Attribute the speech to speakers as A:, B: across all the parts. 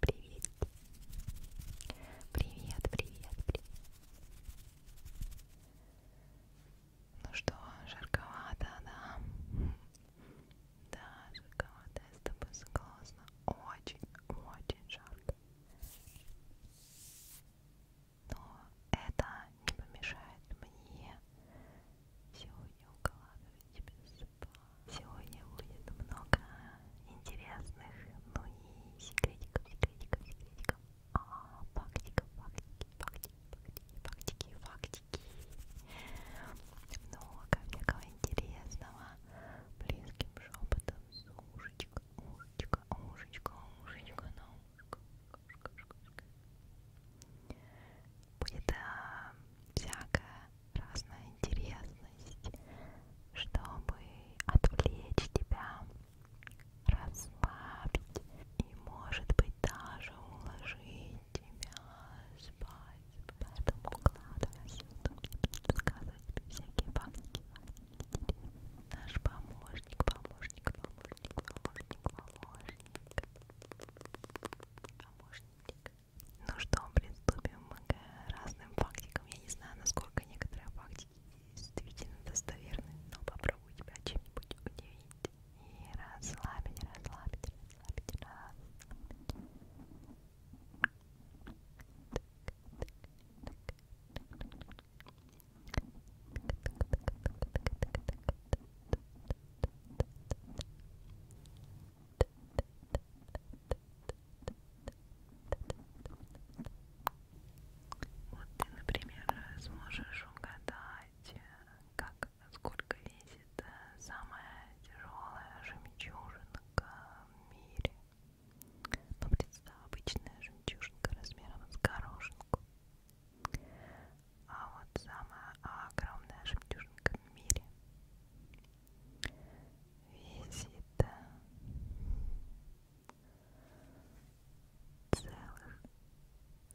A: Привет. Привет, привет, привет. Ну что, жарковато, да? Да, жарковато, я с тобой согласна. Очень, очень жарко. Но это не помешает мне Сегодня укладывать тебя спать. Сегодня будет много интересных, ну и секретиков, секретиков, секретиков. А, фактиков, фактики, фактики, фактики, фактики, фактики. Много ну, всякого а интересного. Близким шепотом с ушечка, ушечка, ушечка, ушечка на ушко будет а, всякая разная интересность, чтобы отвлечь тебя, расслабить и, может быть, даже уложить тебя спать. Поэтому укладывайся, рассказывать всякие банки. Наш помощник, помощник, помощник, помощник, помощник, помощник. Ну что, приступим к разным фактикам. Я не знаю, насколько некоторые фактики действительно достоверны, но попробую тебя чем-нибудь удивить. И расслабить, расслабить, расслабить, расслабить. Вот ты, например, сможешь угадать, как, сколько весит э, самая тяжелая жемчужинка в мире. Ну, представь, обычная жемчужинка размером с горошинку а вот самая огромная жемчужинка в мире висит э, целых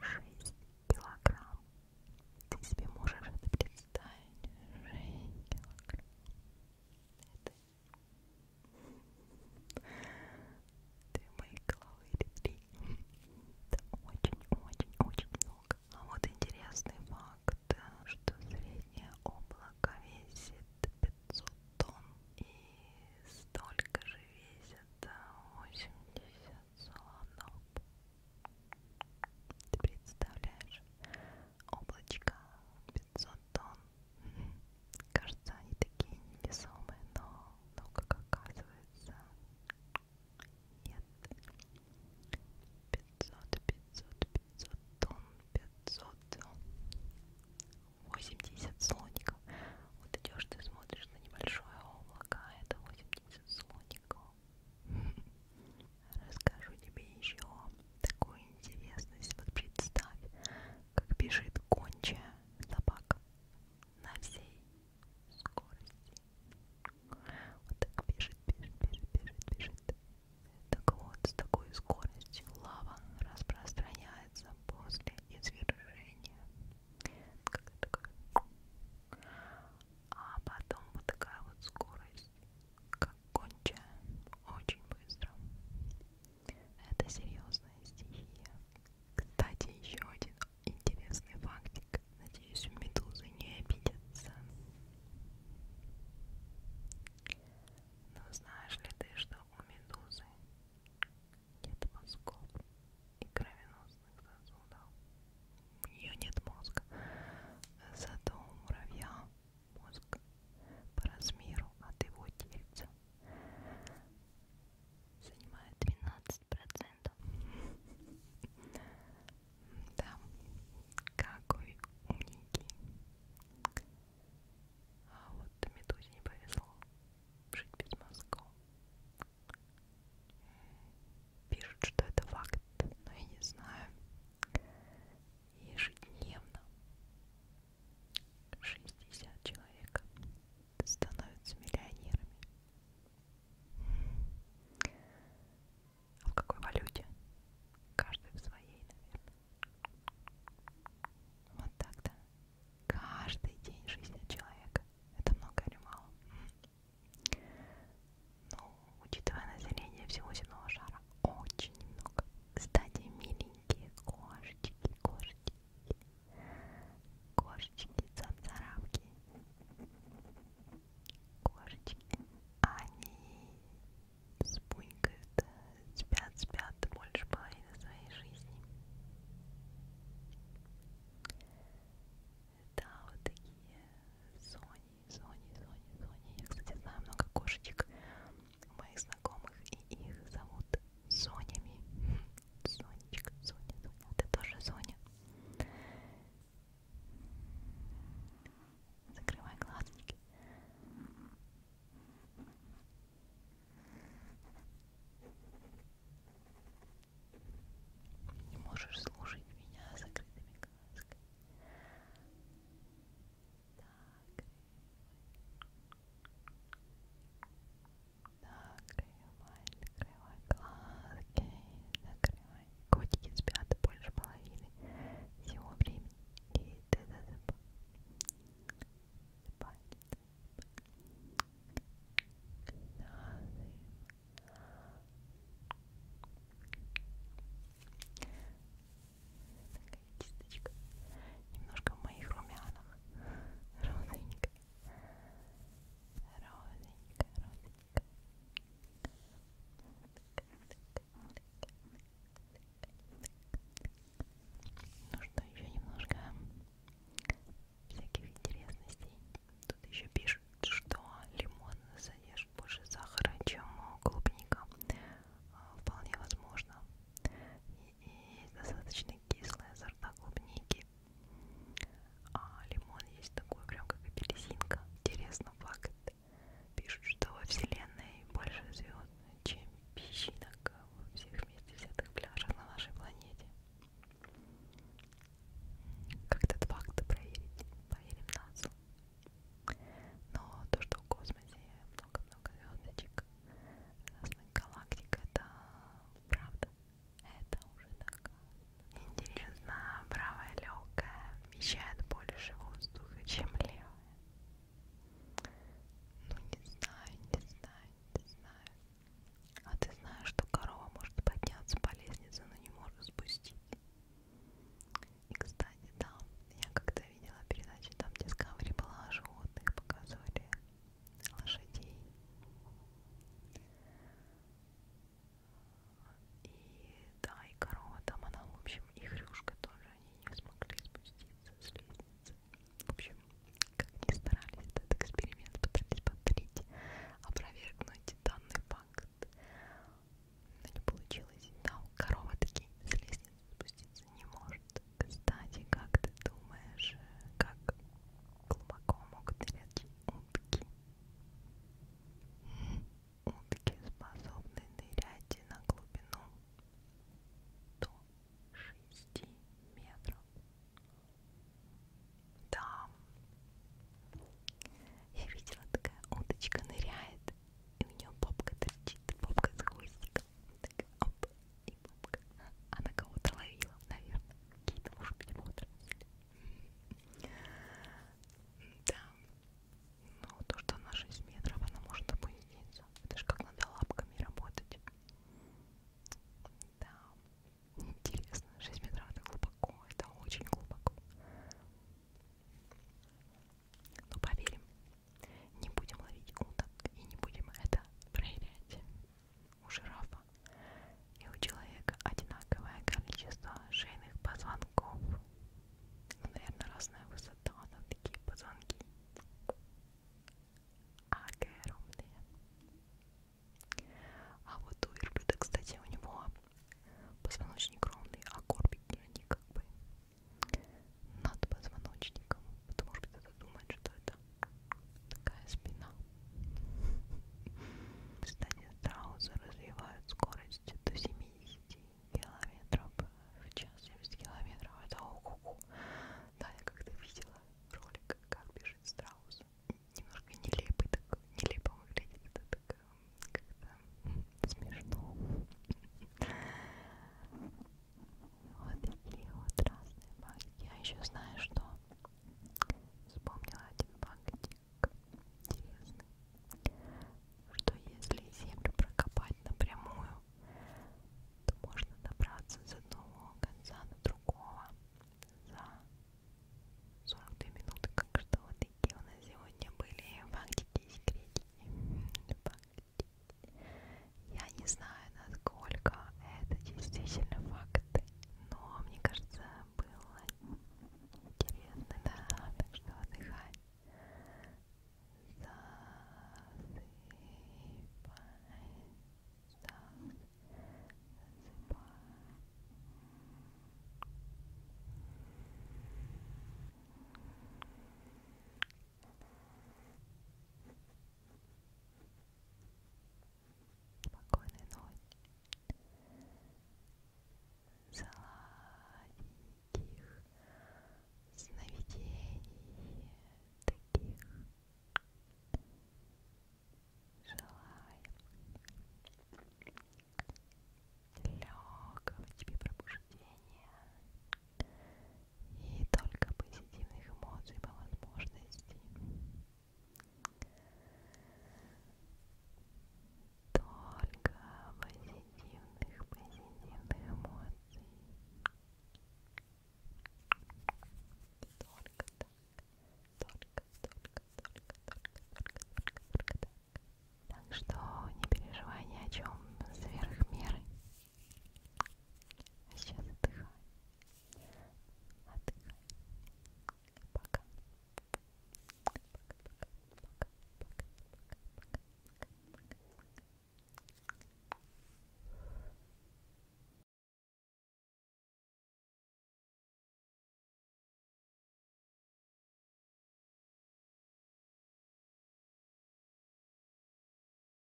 A: шесть килограмм. Ты себе можешь это представить? Шесть килограмм. Это Две мои головы или три. Это очень-очень-очень много облак. А ну вот интересный факт, что среднее облако весит 500 тонн и столько же весит 80 э, слонов. Ты представляешь? Облачко 500 тонн. Кажется, они такие невесомые, но, но как оказывается, нет. 500, 500, 500 тонн, 500. 80 слоников. Вот идешь, ты смотришь на небольшое облако, а это 80 слоников. Расскажу тебе еще такую интересность. Вот представь, как бежит гончая собака на всей скорости. Вот так бежит, бежит, бежит, бежит, бежит. Так вот, с такой скоростью лава распространяется после извержения. Такая, такая. А потом вот такая вот скорость, как кончая, очень быстро. Это серьезная стихия. Кстати, еще один интересный фактик. Надеюсь, медузы не обидятся. Но знаешь ли ты, что у медузы нет мозгов и кровеносных сосудов? У нее нет мозга. Зато у муравья мозг по размеру от его тельца занимает 12 процентов. Да, какой умненький. А вот Медузе не повезло жить без мозгов. Пишут, что это факт, но я не знаю. Ежедневно 60 человек становятся миллионерами.
B: А в какой валюте? Каждый в своей, наверное. Вот так, да? Каждый день жизни человека. Это много или мало? Ну, учитывая население всего земного шара, очень много. Кстати, миленькие кошечки, кошечки кошечки цапцарапки кошечки они спунькают э, спят
A: спят больше половины своей жизни да вот такие сони сони сони сони я кстати знаю много кошечек моих знакомых и их зовут сонями Сонечка, Соня, Соня, а ты тоже Соня. Закрывай глазочки. Не можешь слушать меня с закрытыми глазками. Так. Накрывай, накрывай глазки, накрывай. Котики спят больше половины всего времени, и ты засыпай.
B: Засыпай, засыпай. Такая кисточка. Немножко в моих румянах. Розовенькая розенька, розенька. Ну что, еще немножко всяких интересностей. Тут еще пишут, что лимон содержит больше сахара, чем клубника. А, вполне возможно. И, и достаточно кислая сорта клубники а лимон есть такой, прям как апельсинка. Интересно, факт. Пишут, что во Вселенной больше звезд, чем песчинок а во всех вместе взятых пляжах на нашей планете. Как этот факт проверить? Проверим нас. Но то, что в космосе много-много звездочек, разных галактик, это правда. Это уже доказано. Интересно, правая легкая вмещает
A: больше воздуха, чем левая? Ну не знаю, не знаю, не знаю. А ты знаешь, что корова может подняться по лестнице, но не может спустить? И, кстати, там, я когда видела передачу, там Discovery была о животных, показывали лошадей. И да, и корова там, она, в общем, и хрюшка тоже, они не смогли спуститься с лестницы. В общем, как ни старались этот эксперимент, пытались повторить, опровергнуть данный факт, но не получилось. Да, корова таки с лестницы спуститься не может. Кстати, как ты думаешь, э, как глубоко могут нырять утки. Утки способны нырять на глубину до 6 метров. Да, я видела, такая
B: уточка ныряет, и у нее попка торчит, попка с хвостиком. Так, оп, и бабка. Она а кого-то ловила, наверное. Какие-то, может быть, водоросли. Да. Ну, то, что на 6 метров она может опуститься. Это же как надо лапками работать. Да. Интересно, 6 метров это глубоко, это очень глубоко. Но ну, поверим, не будем ловить уток и не будем это проверять у жирафа и у человека одинаковое количество шейных позвонков. Ну, наверное, разная высота на такие позвонки. Огромные. А вот у верблюда, кстати, у него позвоночник ровный, а корпик не как бы над позвоночником. Потому что кто-то думает, что это просто такая спина. Кстати, страусы развивают скорость до 70 километров в час. 70 километров это ого-го. Да, я как-то видела ролик, как бежит страус. Немножко нелепый, так нелепо выглядит. Это так эм, как-то смешно. Вот такие вот разные баги. Я еще знаю, что вспомнила один багтик интересный, что если землю прокопать напрямую, то можно добраться с одного конца до другого за 42 минуты, как что вот такие у нас сегодня
A: были фактики и секретики. Фактики. Я не знаю, насколько это действительно факты, но мне кажется, было интересно, да, так что отдыхай. Засыпай, засыпай. Спокойной Спокойной ночи. Сладеньких сновидений таких. Желаем легкого тебе пробуждения и только позитивных эмоций по возможности, только позитивных, позитивных эмоций, только так, только, только, только, только, только, только, только так. Так что не переживай ни о чем сверх меры. А сейчас отдыхай. Отдыхай. Пока. Пока, пока, пока, пока, пока, пока, пока.